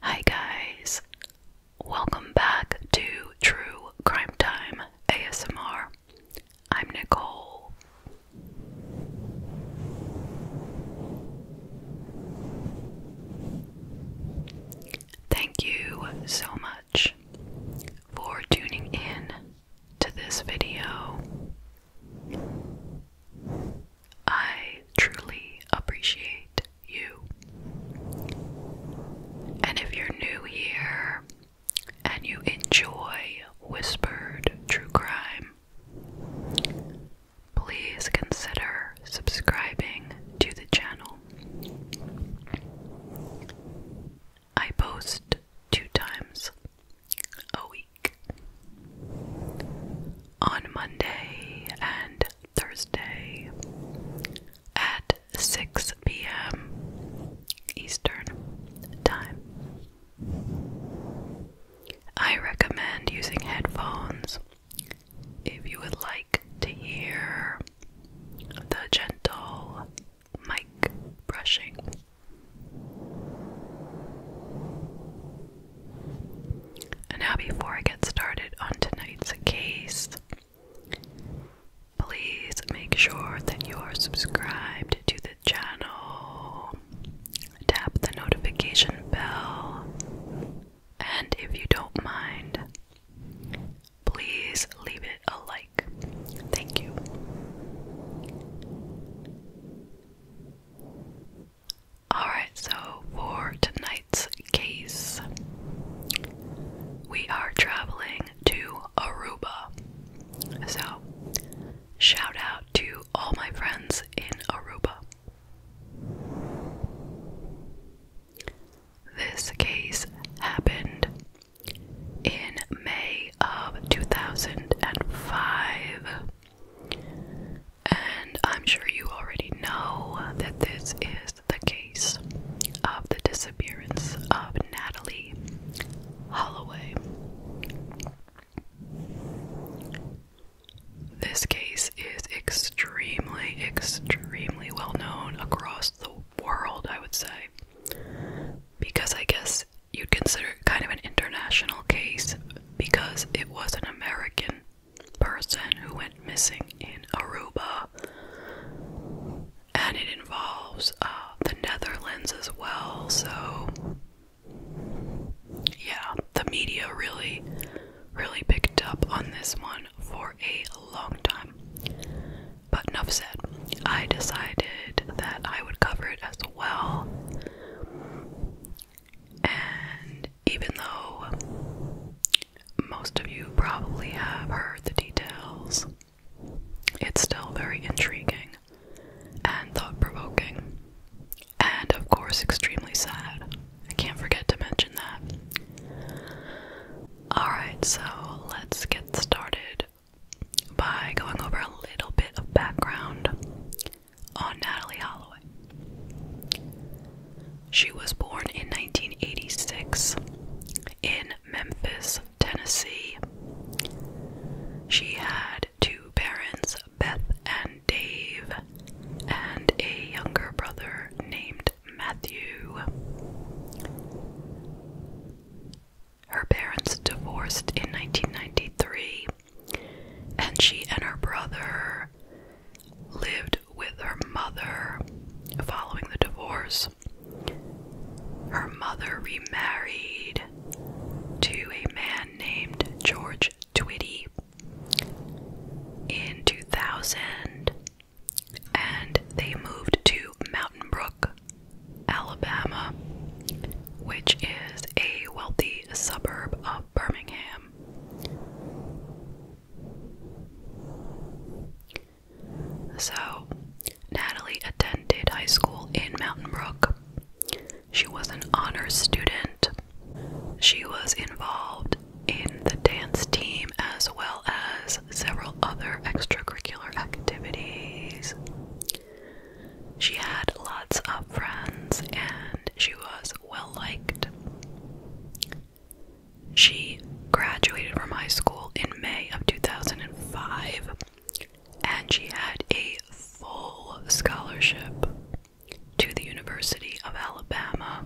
Hi, guys. Welcome back to True Crime Time ASMR. I'm Nicole. Thank you so much for tuning in to this video. I truly appreciate you. And if you're new here and you enjoy whispered true crime, please consider subscribing to the channel. I post two times a week on Monday and Thursday at 6 p.m. Eastern Time. I recommend using headphones if you would like to hear the gentle mic brushing. And now, before I get started on tonight's case, please make sure that you are subscribed to the channel, tap the notification bell, and if you don't mind, please leave it a like. Thank you. Alright, so for tonight's case, we are traveling to Aruba. So, shout out to all my friends in Aruba. This case happened in May of 2005. And I'm sure you already know that this is the case of the disappearance of Natalie Holloway. This case is extremely, extremely well known across the world, I would say, because I guess you'd consider it kind of an international case because it was an American person who went missing in Aruba, and it involves uh, the Netherlands as well. So, yeah, the media really, really picked up on this one for a long time. But enough said, I decided that I would cover it as well. And even though most of you probably have heard the details, it's still very intriguing and thought provoking, and of course, extremely sad. I can't forget to mention that. Alright, so let's get started by going over a little bit of background on Natalie Holloway. She was born in 1986 in Memphis, Tennessee. She had two parents, Beth and Dave, and a younger brother named Matthew. Her parents divorced in 1993, and she and her brother lived with her mother following the divorce. Her mother remarried to a man named George Twitty in 2000 and they moved to Mountain Brook, Alabama, which is a wealthy suburb of Birmingham. So, Natalie attended high school in Mountain Brook. She was an honors student. She was involved in the dance team as well as several other extracurricular activities. She had lots of friends and she was well liked. She graduated from high school in May of 2005 and she had a full scholarship to the University of Alabama,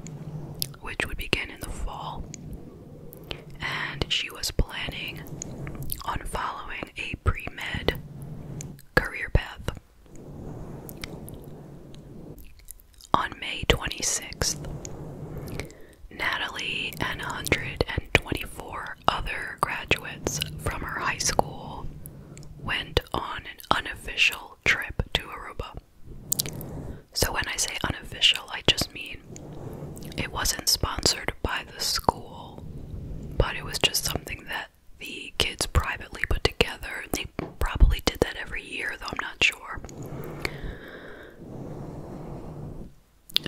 which would begin in the fall. And she was planning on following a pre med career path. On May 26th, Natalie and 124 other graduates from her high school went on an unofficial trip to Aruba. So, when I say unofficial, I just mean it wasn't sponsored by the school, but it was just something that the kids privately put together probably did that every year, though I'm not sure.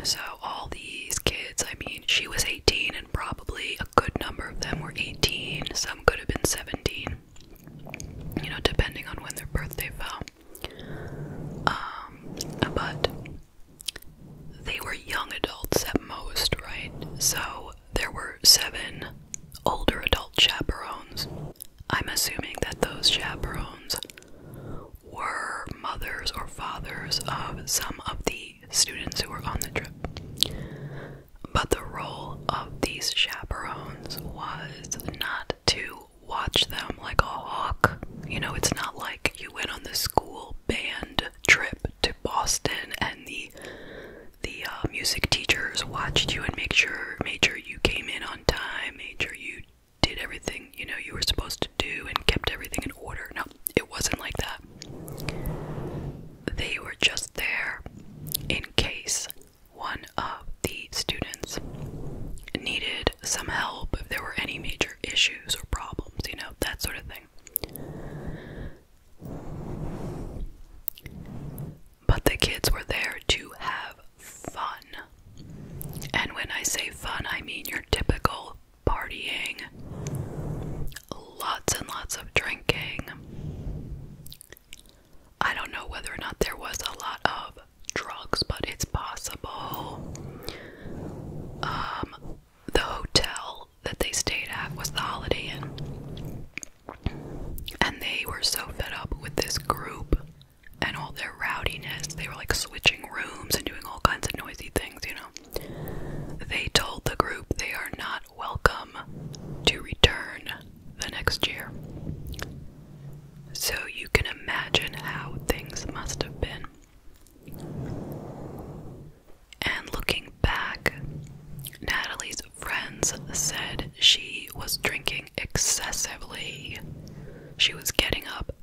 So, all these kids, I mean, she was 18, and probably a good number of them were 18, some could have been 17, you know, depending on when their birthday fell. Um, but they were young adults at most, right? So, there were seven older adult chaperones. I'm assuming that those chaperones were mothers or fathers of some of the students who were on the trip. But the role of these chaperones was not to watch them like a hawk. You know, it's not like you went on the school band trip to Boston and the the uh, music teachers watched you and make sure made sure you came in on time, made sure you did everything you know you were supposed to do and kept everything in order. No, it wasn't like that. They were just there in case one of the students needed some help if there were any major issues or problems, you know, that sort of thing. But the kids were there to have fun. And when I say fun, I mean your typical partying, lots and lots of drinking. I don't know whether or not there was a lot of drugs, but it's possible. Um, the hotel that they stayed at was the Holiday Inn. And they were so fed up with this group and all their rowdiness. They were like switching rooms and doing all kinds of noisy things, you know. They told the group they are not welcome to return the next year. So you can imagine how things must have been. And looking back, Natalie's friends said she was drinking excessively. She was getting up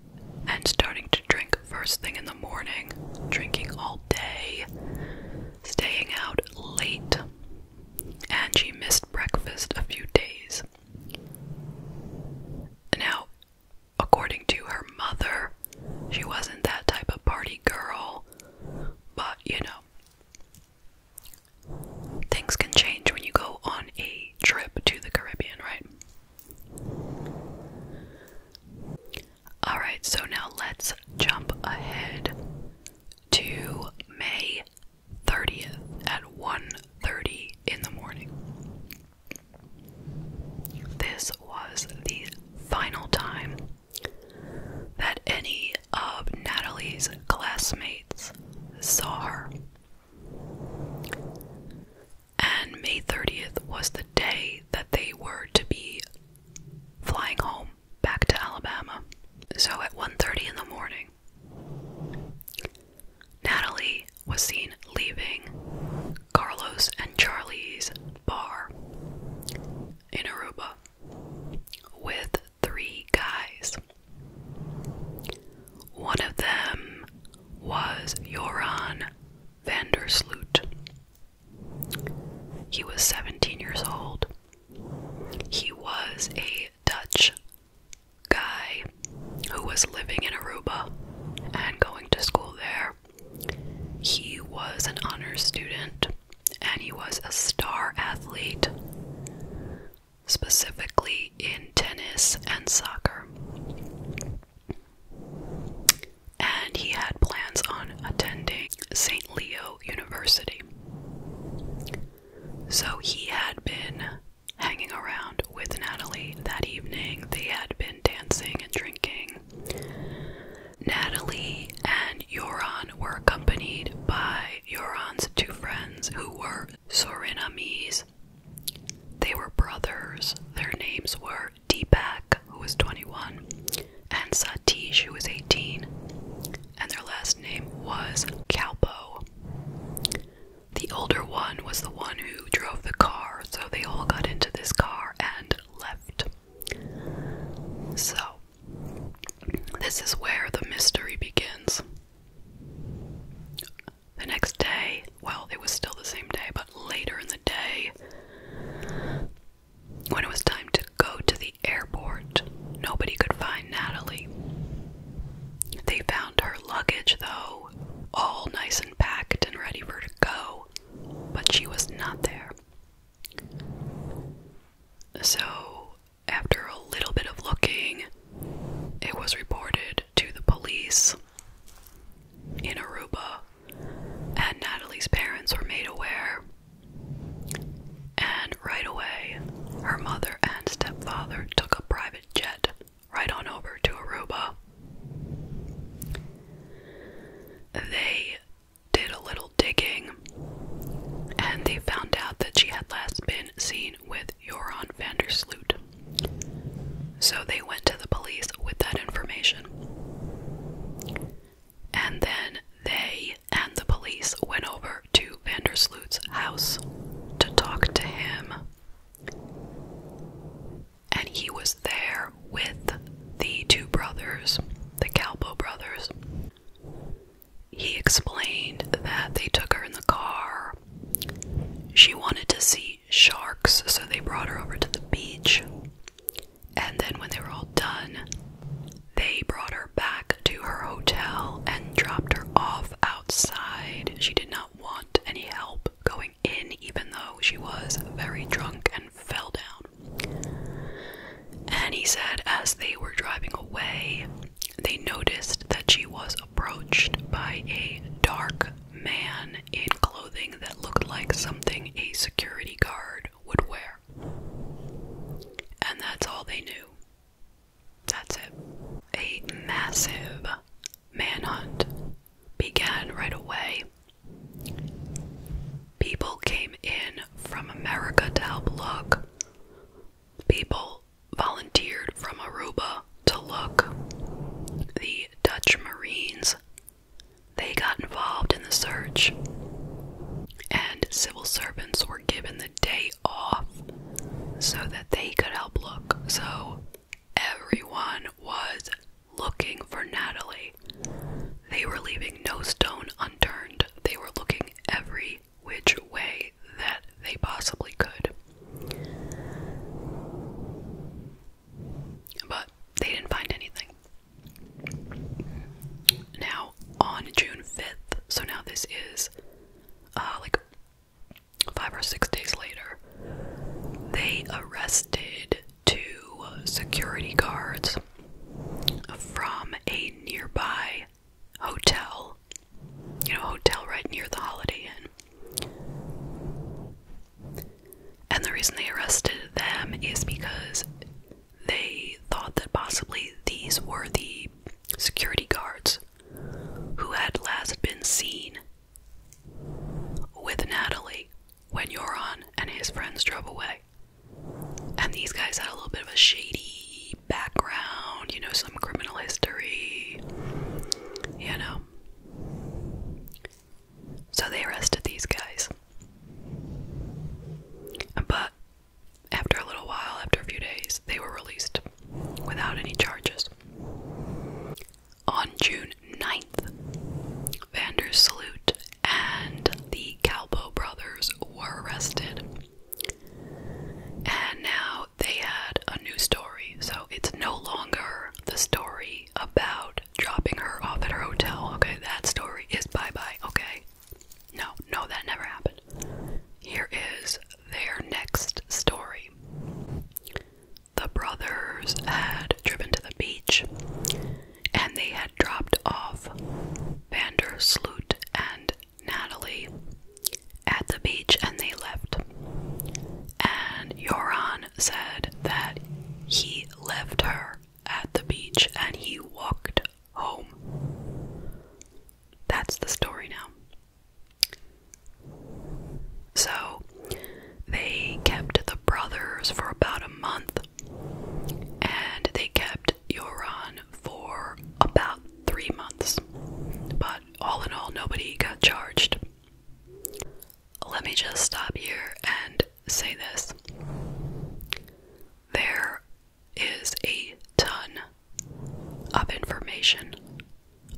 and starting to drink first thing in the morning, drinking all day, staying out late, and she missed breakfast a few days. Now, according to her mother, she wasn't that type of party girl, but you know, Things can change when you go on a trip to the Caribbean, right? Alright, so now let's jump ahead to May 30th at 1:30 in the morning. This was the final time that any of Natalie's classmates saw her. And May 30th was the day that they were to be flying home back to Alabama. So at 1:30 in the morning, Natalie was seen leaving Carlos and Charlie's bar in Aruba with three guys. One of them was Joran Vandersloot. He was 17 years old. He was a Dutch guy who was living in Aruba and going to school there. He was an honor student and he was a star athlete, specifically in tennis and soccer. And he had plans on attending St. Leo University. So he had been hanging around with Natalie that evening. They had been dancing and drinking. Natalie and Yoron were accompanied by Yoron's two friends who were Sorinamese. They were brothers. Their names were Deepak, who was 21, and Satish, who was 18, and their last name was Kalpo. The older one was the one who drove the car, so they all got into this car and left. So, this is where the mystery begins. The next day, well, it was still the same day, but later in the day, when it was time to go to the airport, nobody could find Natalie. They found her luggage, though, all nice and packed and ready for her to go, but she was not there. So after a little bit of looking, it was reported to the police in Aruba, and Natalie's parents were made aware. And right away, her mother and stepfather took a private jet right on over to Aruba. They did a little digging and they found out that she had last been seen with Joran van So they went to the police with that information. And then they and the police went over to Vandersloot's house to talk to him. And he was there with the two brothers, the Calbo brothers he explained that they took her in the car. She wanted to see sharks, so they brought her over to the beach. And then, when they were all done, they brought her back to her hotel and dropped her off outside. She did not want any help going in, even though she was very drunk and fell down. And he said, as they were driving away, they noticed that she was approached by a dark man in clothing that looked like something a security guard would wear. And that's all they knew. That's it. A massive manhunt began right away. People came in from America to help look. People volunteered from Aruba to look. The Dutch Marines they got involved in the search and civil servants were given the day off so that they could help look. So everyone was looking for Natalie. They were leaving no stone unturned. They were looking every which way that they possibly could. But they didn't find anything. Now, on June 5th, so now this is uh, like five or six days later, they arrested two security guards from a nearby hotel, you know, hotel right near the Holiday Inn. And the reason they arrested them is because they thought that possibly these were the security guards who had last been seen with Natalie when Yoron and his friends drove away. And these guys had a little bit of a shady background, you know, some criminal history, you know. So they arrested these guys. But after a little while, after a few days, they were released without any charges. On June 9th, Vander Salute and the Calbo brothers were arrested and now they had a new story, so it's no longer the story about dropping her off at her hotel. Okay, that story is bye bye, okay? No, no, that never happened. Here is their next story. The brothers had driven to the beach and they had dropped off Vander Sloot and Natalie at the beach and they left. And Yoran said that he left her at the beach and he walked home. That's the story now. So they kept the brothers for about a month and they kept you're on for about three months. But all in all, nobody got charged. Let me just stop here and say this there is a ton of information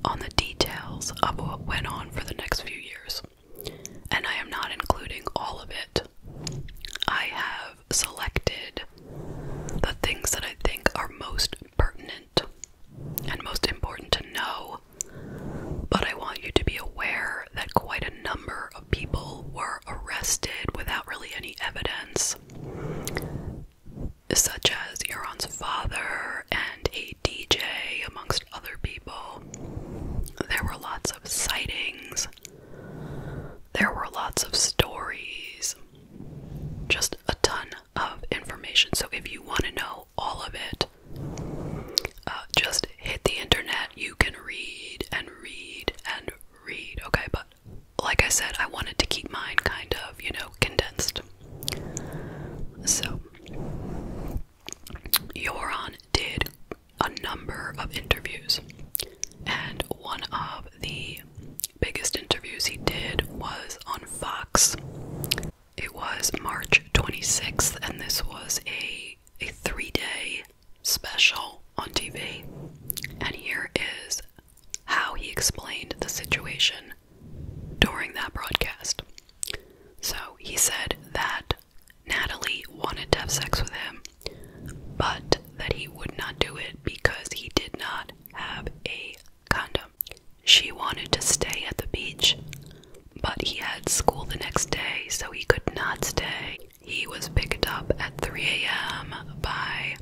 on the details of what went on for the next few years, and I am not including all of it. I have selected the things that I think are most pertinent and most important to know, but I want you to be aware that quite a number of people were arrested without really any evidence, such as Euron's father and a DJ, amongst other people. There were lots of sightings there were lots of stories, just a ton of information. So, if you want to know all of it, uh, just hit the internet. You can read and read and read, okay? But like I said, I wanted to keep mine kind of, you know, condensed. So, Yoron did a number of interviews. And one of the biggest interviews he did was on Fox. It was March 26th, and this was a, a three day special on TV. And here is how he explained the situation during that broadcast. So he said that Natalie wanted to have sex with him but that he would not do it because he did not have a condom. She wanted to stay at the beach, but he had school the next day, so he could not stay. He was picked up at 3 a.m. by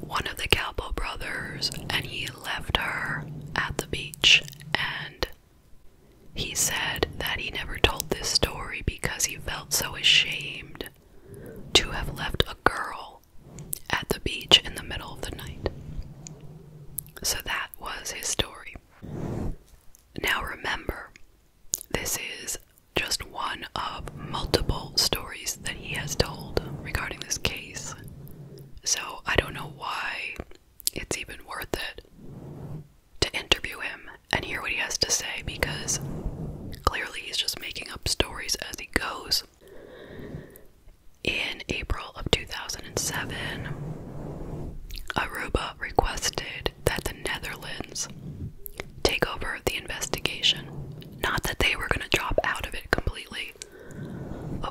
one of the Calpo brothers, and he left her at the beach. And he said that he never told this story because he felt so ashamed to have left a girl at the beach in the middle of the night. So that was his story. Now remember, this is just one of multiple stories that he has told regarding this case. So I don't know why it's even worth it to interview him and hear what he has to say because clearly he's just making up stories as he goes. In April of 2007, Aruba requested that the Netherlands take over the investigation. Not that they were going to drop out of it completely,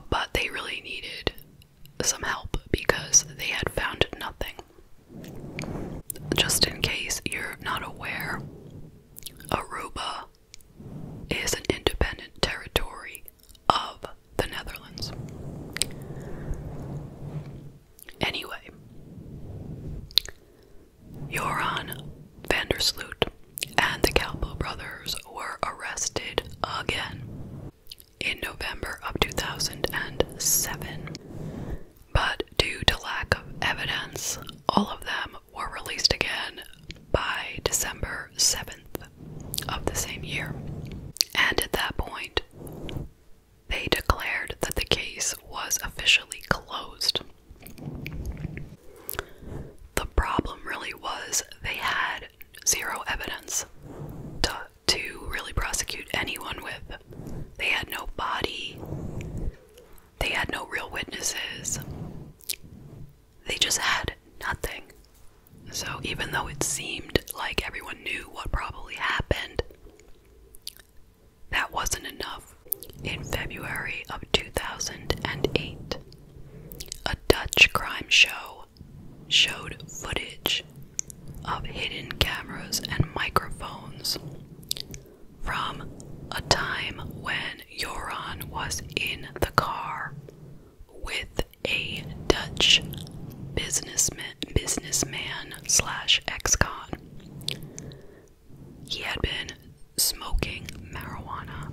but they really needed some help because they had found nothing. Just in case you're not aware, Aruba is an independent territory of the Netherlands. Anyway, Joran Vandersloot and the Calpo brothers were arrested again in November of 2007. But due to lack of evidence, all of them were released again by December 7th of the same year. And at that point, they declared that the case was officially closed. The problem really was they had zero evidence to, really prosecute anyone with. They had no body, they had no real witnesses. They just had nothing. So, even though it seemed like everyone knew what probably happened, that wasn't enough. In February of 2008, a Dutch crime show showed footage of hidden cameras and microphones from a time when Joran was in the car with a Dutch businessman slash ex-con. He had been smoking marijuana,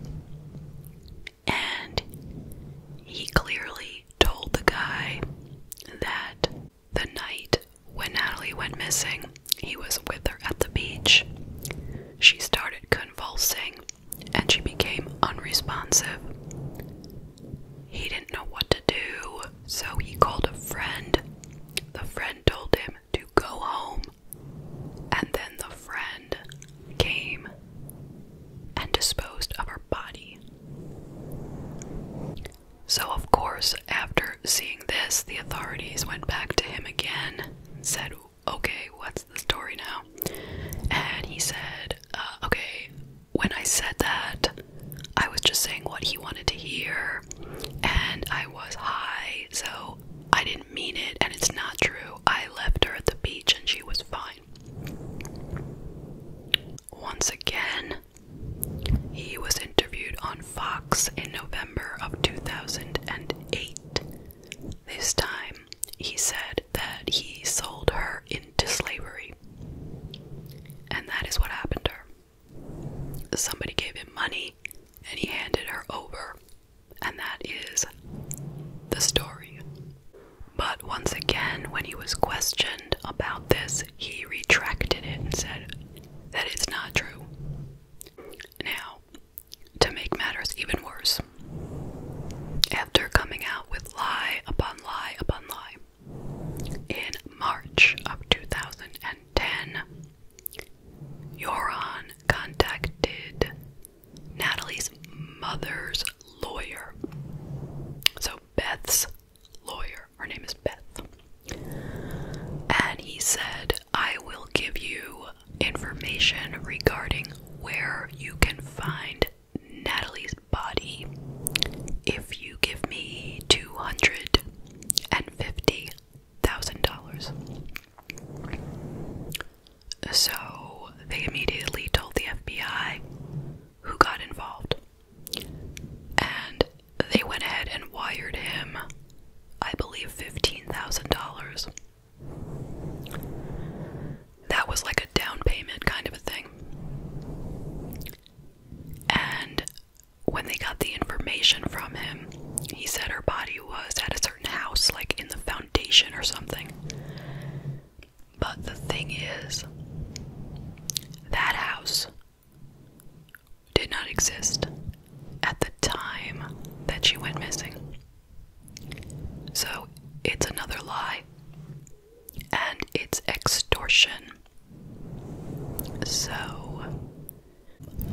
and he clearly told the guy that the night when Natalie went missing, he was with her at the beach. She started convulsing and she became unresponsive. He didn't know what to do, so he called a friend. The friend told him to go home, and then the friend came and disposed of her body. So, of course, after seeing this, the authorities went back to him again said, Okay, what's the story now? And he said, uh, Okay, when I said that, I was just saying what he wanted to hear, and I was high, so I didn't mean it, and it's not true. I left her at the beach and she was fine. Once again, he was interviewed on Fox in November of 2008. This time, he said that he sold her into slavery. And that is what happened to her. Somebody gave him money and he handed her over. And that is the story. But once again, when he was questioned about this he retracted it and said that it's not true. Now, to make matters even worse, after coming out with lie upon lie upon lie, in March of 2010, Yoron contacted Natalie's mother's lawyer. So Beth's lawyer her name is Beth. And he said, I will give you information regarding where you can find Natalie's body if you give me $250,000. So they immediately told the FBI who got involved. And they went ahead and wired him, I believe, $15,000. That was like a down payment kind of a thing. And when they got the information from him, he said her body was at a certain house, like in the foundation or something. But the thing is, that house did not exist at the time that she went missing. So it's another lie and it's extortion. So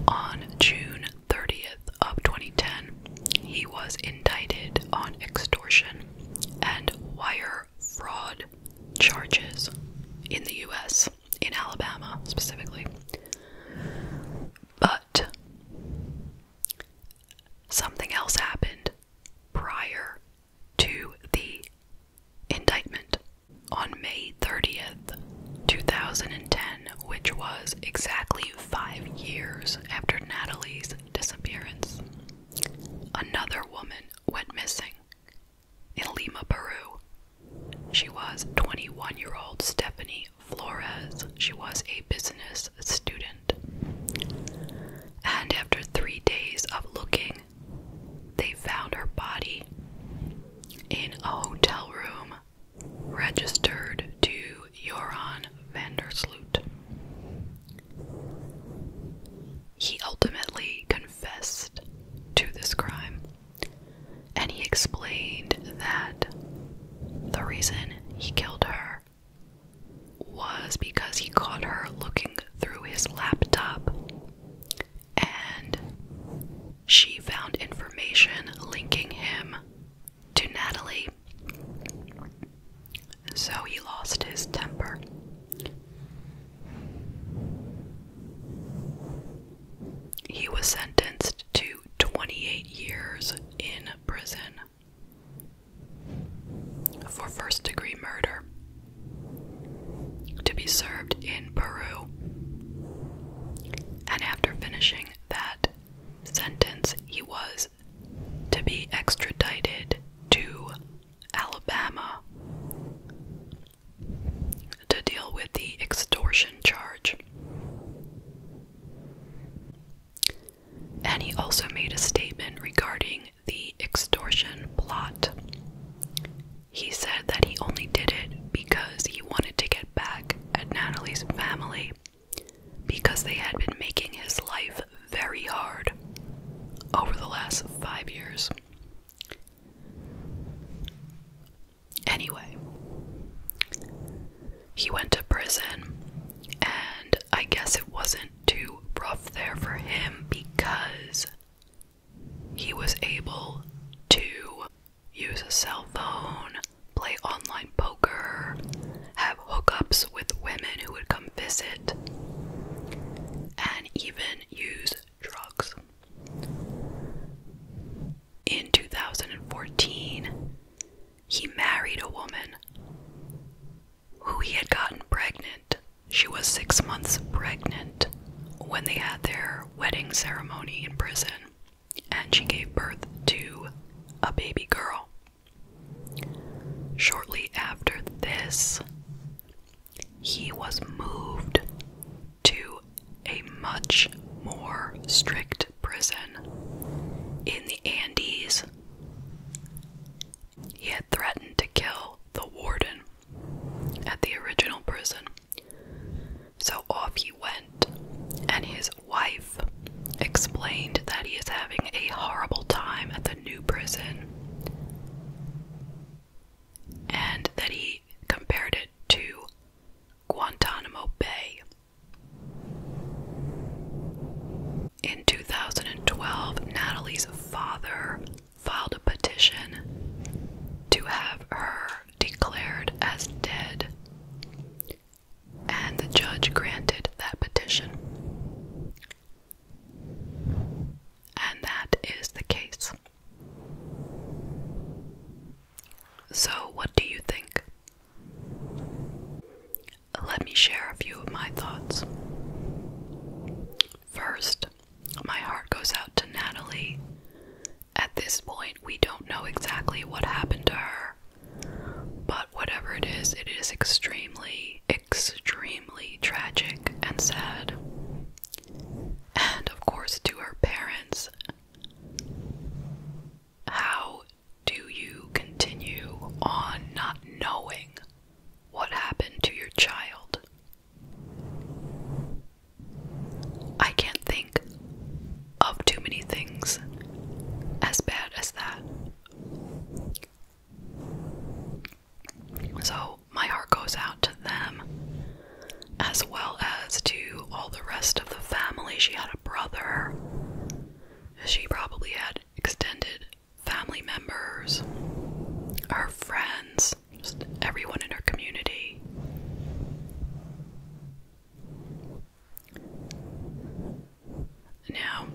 on June 30th of 2010, he was indicted on extortion and wire fraud charges in the US in Alabama specifically. But something else happened prior to the indictment on May 30th, 2010, which was exactly five years after Natalie's disappearance. Another woman went missing in Lima, Peru, she was 21 year old Stephanie Flores. She was a business student. And after three days of looking, they found her body in a hotel room registered to Joran Vandersloot. He ultimately confessed to this crime. And he explained that the reason he killed her was because he caught her looking through his laptop and she found information linking him to Natalie. So he lost his temper. He was sentenced to 28 years in prison for first degree murder to be served in Peru. And after finishing that sentence, he was to be extradited to Alabama to deal with the extortion charge. And he also made a statement regarding the extortion plot. He said that he only did it because he wanted to get back at Natalie's family because they had been making his life very hard over the last five years. Anyway, he went to prison, and I guess it wasn't too rough there for him because he was able to use a cell phone, play online poker, have hookups with women who would come visit, and even use drugs. In 2014, he married a woman who he had gotten pregnant. She was six months pregnant when they had their wedding ceremony in prison, and she gave birth to a baby girl. Shortly after this, he was moved to a much more strict prison in the Andes. He had threatened to kill the warden at the original prison. So off he went, and his wife explained that he is having a horrible time at the new prison and that he compared it to Guantanamo Bay. In 2012, Natalie's father filed a petition to have her declared as dead, and the judge granted that petition. And that is the case. So, what do you think? Let me share a few of my thoughts. First, my heart goes out to Natalie. At this point, we don't know exactly what happened to her, but whatever it is, it is extremely, extremely tragic and sad and of course to her parents how do you continue on not knowing what happened to your child? I can't think of too many things as bad as that. So, my heart goes out to them as well as to all the rest of the family. She had a brother. She probably had extended family members, her friends, just everyone in her community. Now,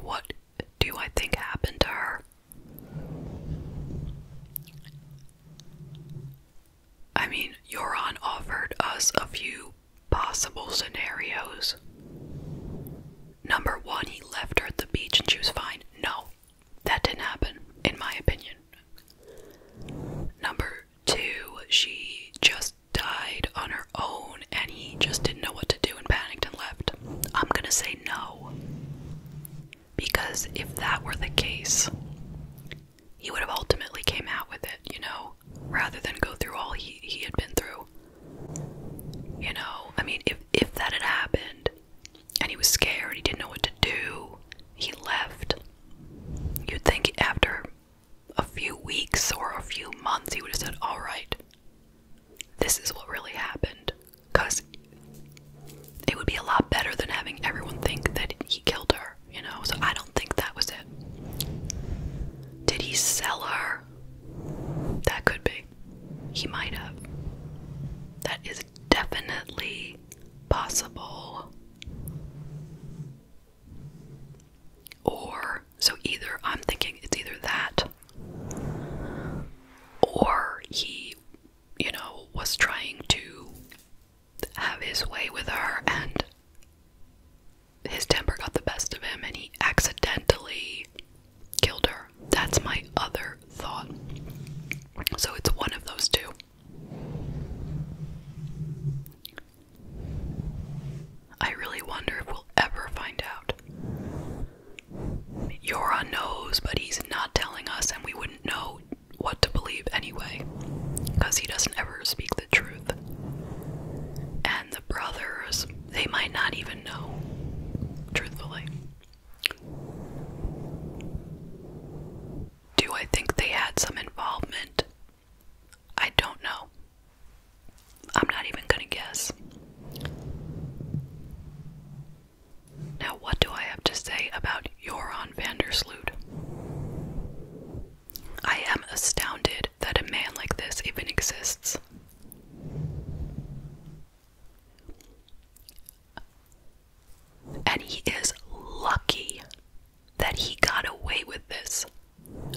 what do I think happened to her? I mean, Euron offered us a few possible scenarios. Number one, he left her at the beach and she was fine. No, that didn't happen, in my opinion. Number two, she just died on her own and he just didn't know what to do and panicked and left. I'm gonna say no. Because if that were the case, he would have ultimately came out with it, you know, rather than go through all he, he had been through. You know, I mean, if, if that had happened and he was scared, he didn't know what to do, he left, you'd think after a few weeks or a few months he would have said, All right, this is what really happened. Because it would be a lot better than having everyone think that he killed her, you know? So I don't think that was it. Did he sell her? That could be. He might have. That is definitely possible. Or, so either, I'm thinking it's either that, or he you know, was trying to have his way with her, and his temper got the best of him, and he accidentally killed her. That's my other thought. So it's one of those two. I really wonder if we'll ever find out. Yora knows, but he's not telling us, and we wouldn't know what to believe anyway, because he doesn't ever speak the truth. And the brothers, they might not even know, truthfully. Do I think they had some involvement? I don't know. I'm not even gonna guess. Now, what do I have to say about Joran van der Sloot? I am astounded that a man like this even exists. And he is lucky that he got away with this.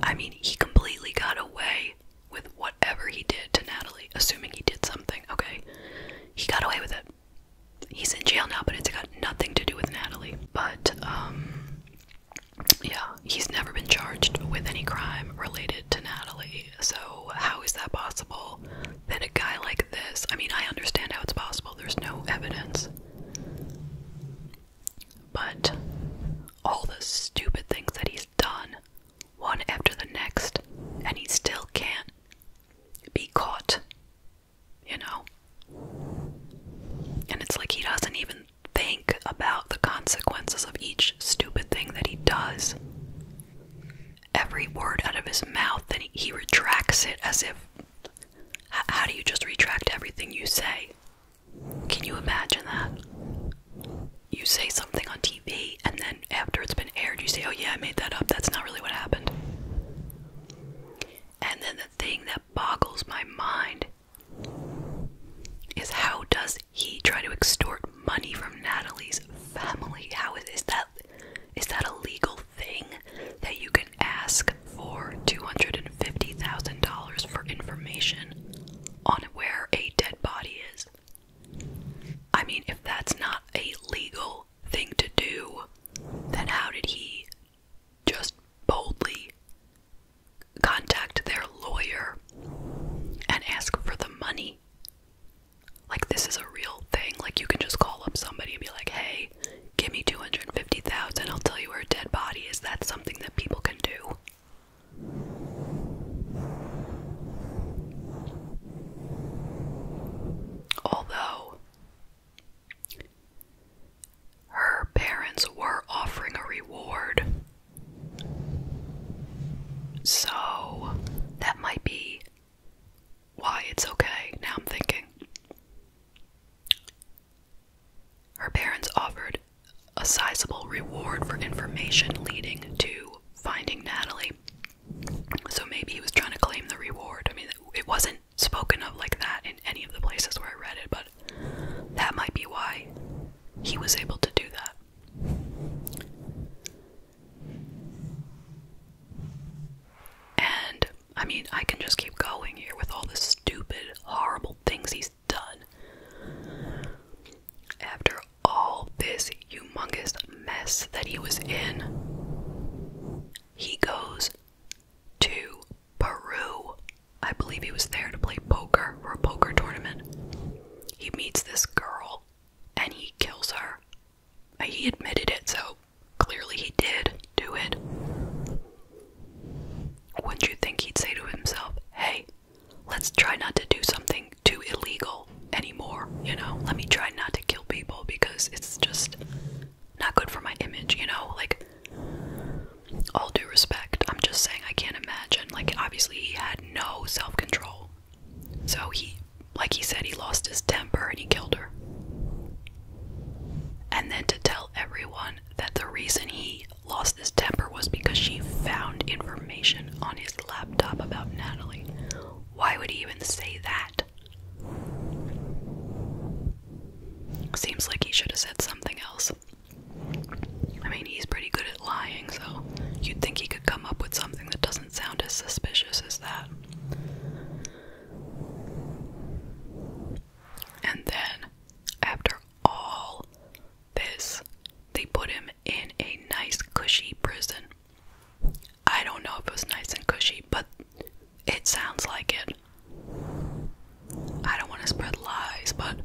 I mean, he completely got away with whatever he did to Natalie, assuming he did something, okay? He got away with it he's in jail now, but it's got nothing to do with Natalie. But um, yeah, he's never been charged with any crime related to Natalie. So how is that possible? Then a guy like this. I mean, I understand how it's possible. There's no evidence. But all the stupid things that he's done, one after the next, and he still can't be caught, you know? And it's like he doesn't even think about the consequences of each stupid thing that he does. Every word out of his mouth, then he, retracts it as if. how do you just retract everything you say? Can you imagine that? You say something on TV and then after it's been aired, you say, oh yeah, I made that up. That's not really what happened. And then the thing that boggles my mind is how does he try to extort money from Natalie's family? How is that is that a legal thing that you can ask for $250,000 for information on where a dead body is? I mean, if that's not a legal thing to do, then how did he just boldly contact their lawyer and ask for the money? Like, this is a real thing. Like, you can just call up somebody and be like, hey, give me 250000 I'll tell you where a dead body is. That's something that people can do. Although her parents were offering a reward. So that might be why it's okay. Now I'm thinking. Her parents offered a sizable reward for information leading to finding Natalie. So maybe he was trying to claim the reward. I mean, it wasn't spoken of like that in any of the places where I read it, but that might be why he was able to do that. And I mean, I can just keep going here with all the stupid, horrible things he's done. After all this, humongous mess that he was in, he goes to Peru. I believe he was there to play poker for a poker tournament. He meets this girl and he kills her. He admitted it, so clearly he did do it. Wouldn't you think he'd say to himself, hey, let's try not to do something too illegal? anymore, you know? Let me try not to kill people because it's just not good for my image, you know? Like, all due respect, I'm just saying I can't imagine. Like, obviously, he had no self control. So he, like he said, he lost his temper and he killed her. And then to tell everyone that the reason he lost his temper was because she found information on his laptop about Natalie. Why would he even say that? Seems like he should have said something else. I mean, he's pretty good at lying, so you'd think he could come up with something that doesn't sound as suspicious as that. And then, after all this, they put him in a nice, cushy prison. I don't know if it was nice and cushy, but it sounds like it. I don't want to spread lies, but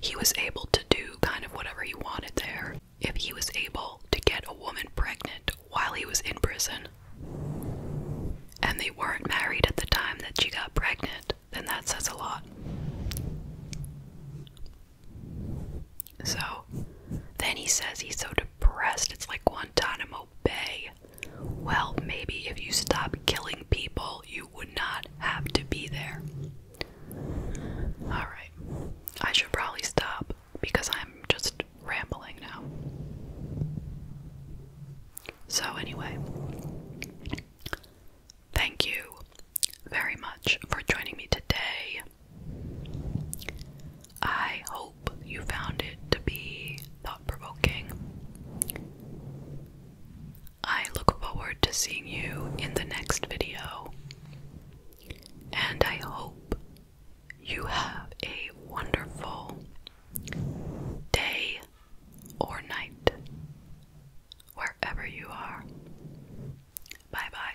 he was able to do kind of whatever he wanted there. If he was able to get a woman pregnant while he was in prison, and they weren't married at the time that she got pregnant, then that says a lot. So then he says he's so depressed, it's like Guantanamo Bay. Well, maybe if you stop killing people, you would not have to be there. Alright, I should probably stop because I'm just rambling now. So, anyway, thank you very much for joining me today. I hope you found it to be thought provoking. I look forward to seeing you in the next video, and I hope you have a wonderful day or night wherever you are. Bye bye.